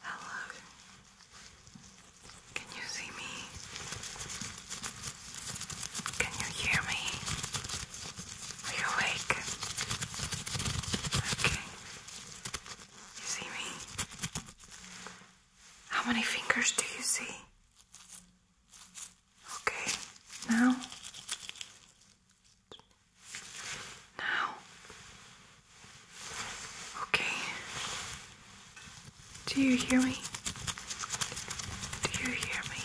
Hello. Can you see me? Can you hear me? Are you awake? Okay. You see me? How many fingers do you see? Okay. Now. Now, okay. Do you hear me? Do you hear me?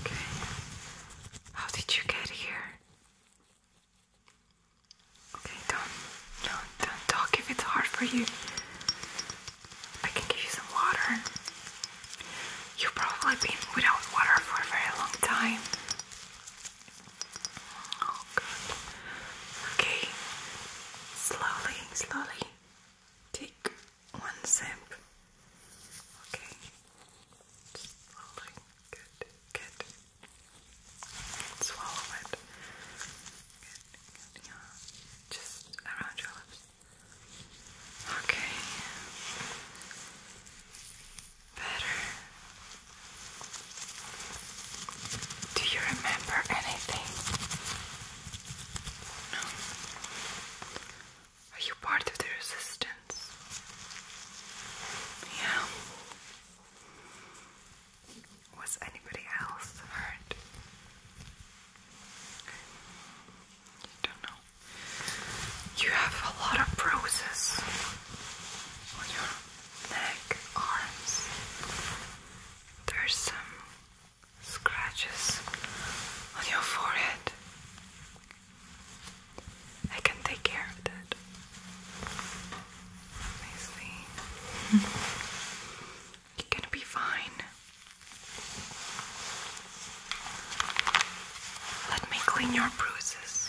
Okay. How did you get here? Okay, don't, do don't talk if it's hard for you. I can give you some water. You've probably been without water for a very long time. Oh, Okay. Slowly, slowly. Take one sip. Okay. Slowly. Good, good. Swallow it. good. Yeah. Just around your lips. Okay better. Do you remember anything? No. Are you part of the resistance? Yeah. Was anybody else hurt? You don't know. You have a lot of bruises on your neck, arms. There's some scratches on your forehead. I can take care of that. Nicely. You're gonna be fine. Let me clean your bruises.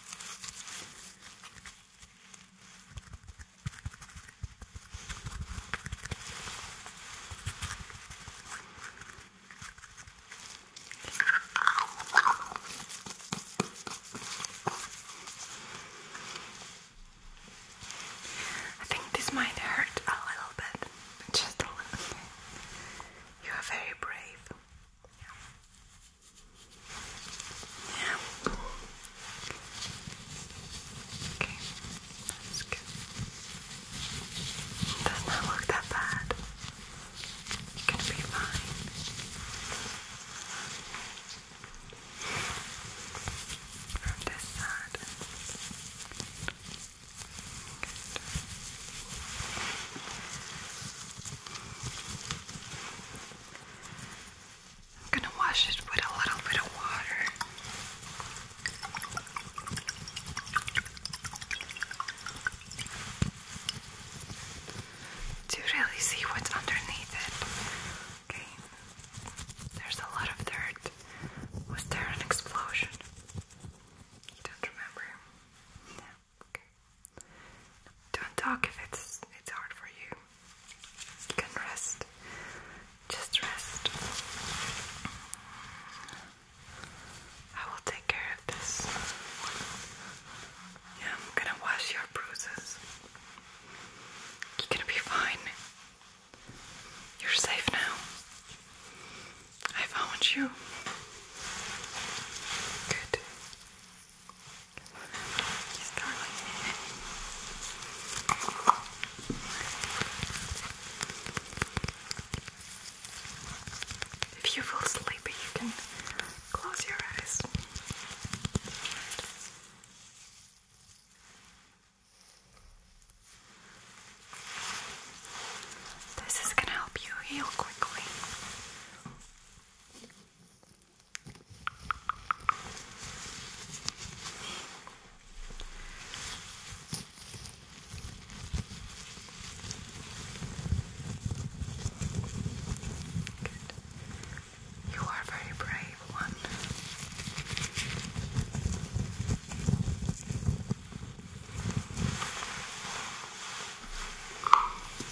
I think this might hurt a little bit, just a little You are very brave. Yeah. Okay, It does not look that bad. You're gonna be fine. From this side. Good. I'm gonna wash it with a little bit of water. To really see what's underneath it. Okay, there's a lot of dirt. Was there an explosion? You don't remember? No. Don't talk if it's it's hard for you. You can rest. Just rest. I will take care of this. Yeah, I'm gonna wash your bruises. You're gonna be fine. You're safe now. I found you. Good. You If you feel sleepy, you can close your eyes. This is going to help you heal quickly. Good. You are a very brave one. Good.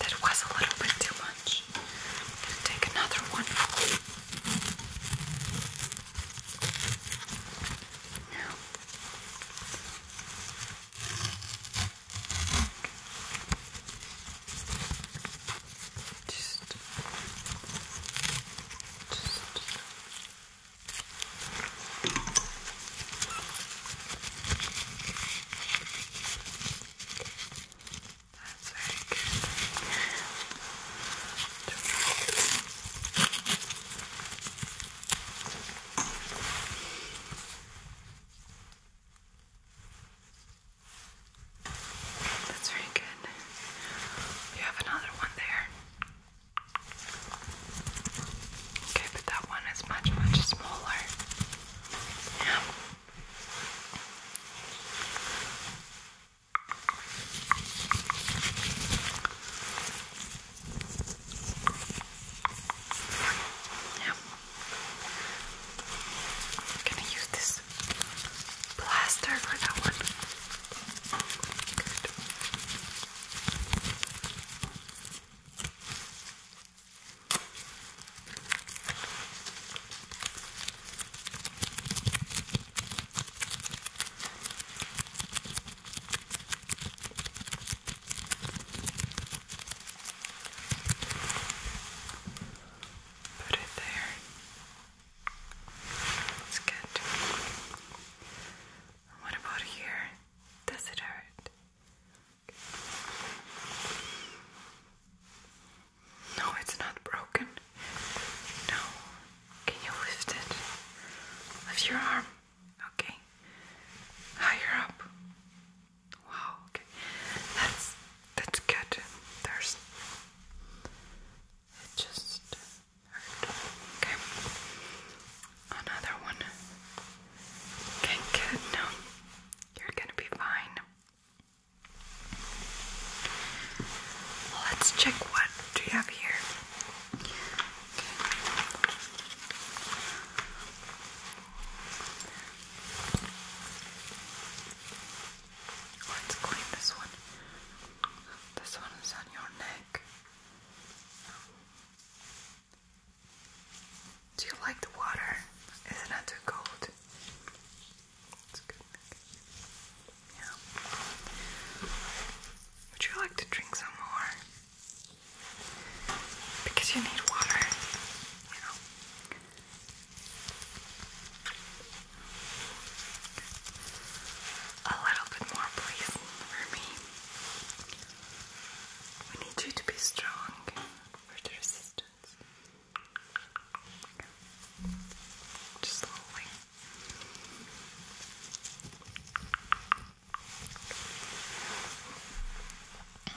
That was a little bit too much brush and take another one. Now, just, just. That's very good. That's very good. You have another one there. Okay, but that one is much, much smaller. Yeah. Now, I'm gonna use this plaster for that one. Good. Put it there. It's What about here? Does it hurt? No, it's not broken. No. Can you lift it? Lift your arm. Okay. Higher up. Wow, okay. That's that's good. There's it just hurt. Okay. Another one. Okay, good. No. You're gonna be fine. Let's check what do you have here. Let's clean this one. This one is on your neck. Do you like the water? Is it too cold? Would you like to drink some more? Because you need water, A little bit more, please, for me. We need you to be strong just slowly. Good.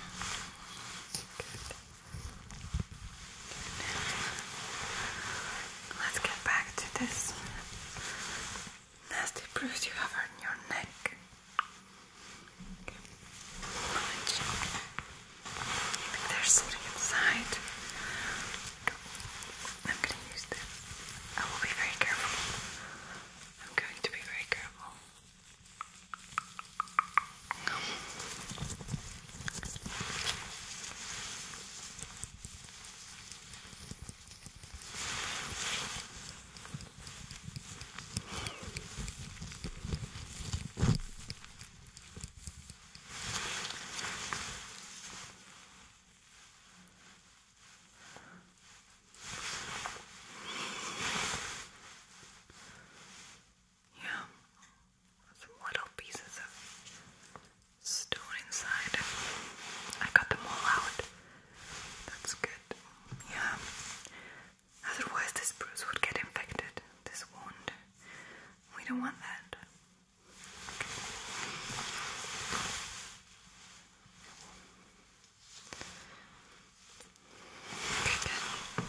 Let's get back to this nasty bruise you have on your neck. Like there's something inside. I'm gonna use this. I will be very careful. I'm going to be very careful. Yeah, some little pieces of stone inside. I got them all out. That's good. Yeah. Otherwise, this bruise would get infected. This wound. We don't want that. Okay, good.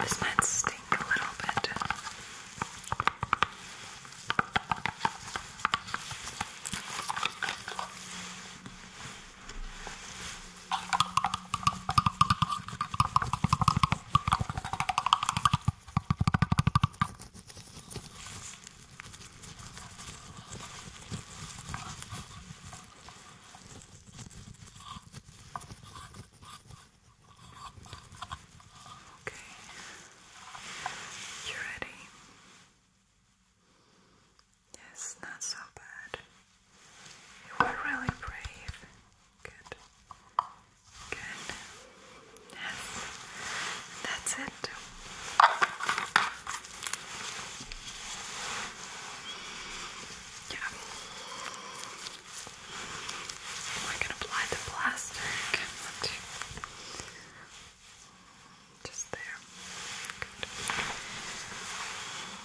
This might stink a little bit. Okay, you ready? Yes, not so bad. You were really brave. Good. Good. Yes. That's it. Yeah. We're gonna apply the plastic. Just there. Good.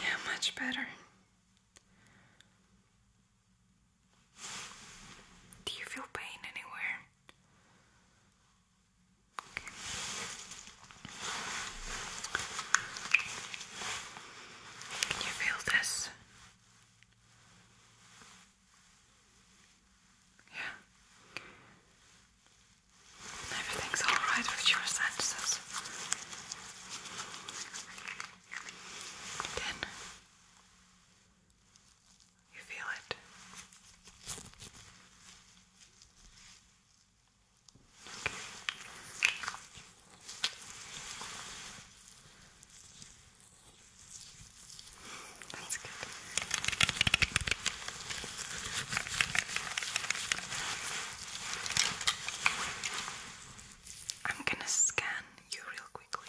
Yeah, much better. Do you feel pain anywhere? Can you feel this? Yeah. Everything's alright with your senses. Again. You feel it. Okay. That's I'm gonna scan you real quickly.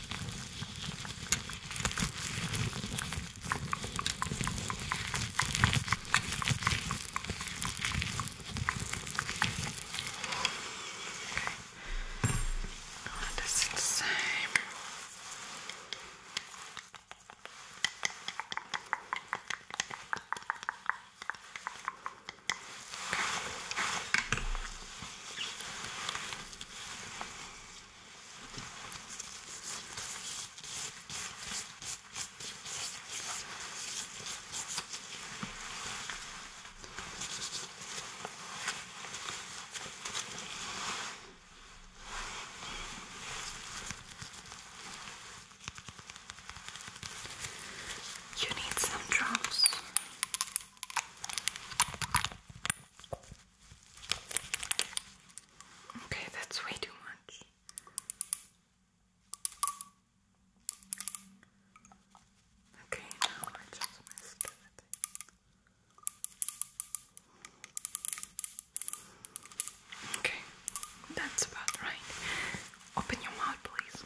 Oh, this is the same. Okay. You need some drops. Okay, that's way too much. Okay, now I just missed everything. Okay, that's about right. Open your mouth, please.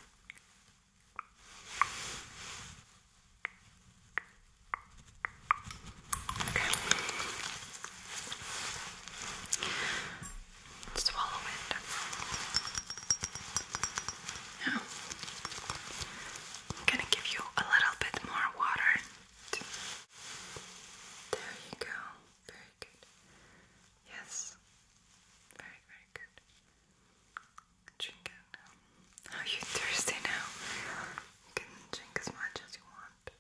Okay. Swallow it. Now, I'm gonna give you a little bit more water. There you go. Very good. Yes. Very, very good. Drink it now. Are you thirsty now? You can drink as much as you want that.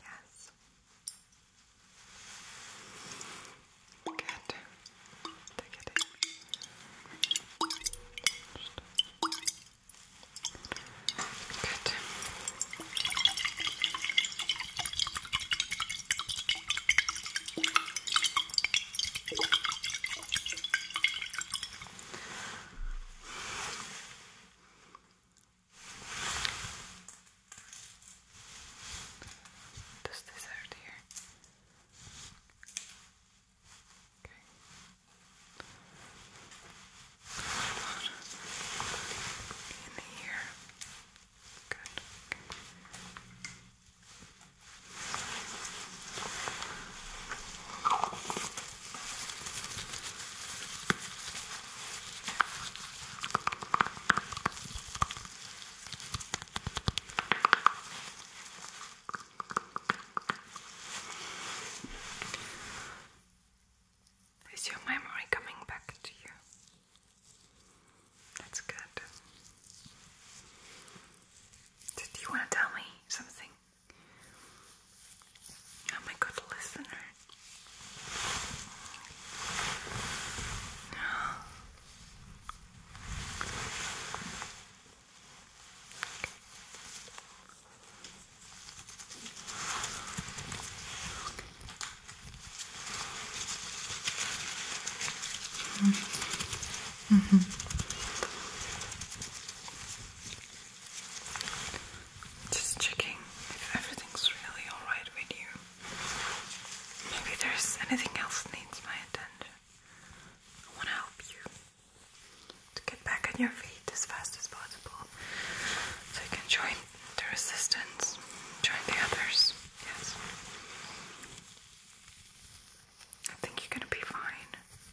Yes. Good. Good. Does this hurt here? Okay. In here. Good. Okay. Is your memory coming back to you? That's good. Did you want to tell me something? I'm oh a good listener. Mm -hmm. Just checking if everything's really alright with you. Maybe there's anything else that needs my attention. I want to help you to get back on your feet as fast as possible so you can join the resistance, join the others. Yes. I think you're gonna be fine.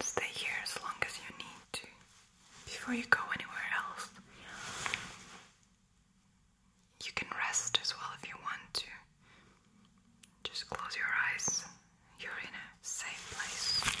stay here as long as you need to before you go anywhere else. You can rest as well if you want to. Just close your eyes. You're in a safe place.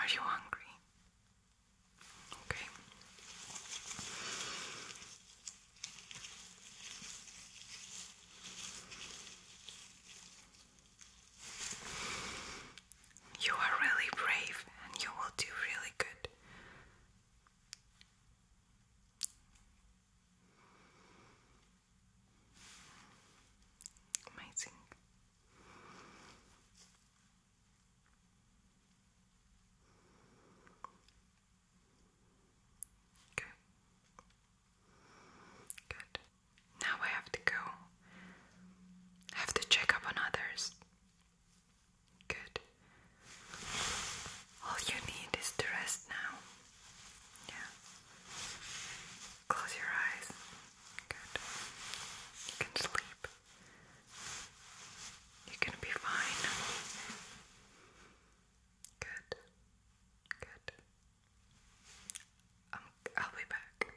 Are you hungry? Okay. You are really brave and you will do really good. Amazing. Good. Good. Now I have to go. I have to check up on others. Good. All you need is to rest now. Yeah. Close your eyes. Good. You can sleep. You can be fine. Good. Good. Um, I'll be back.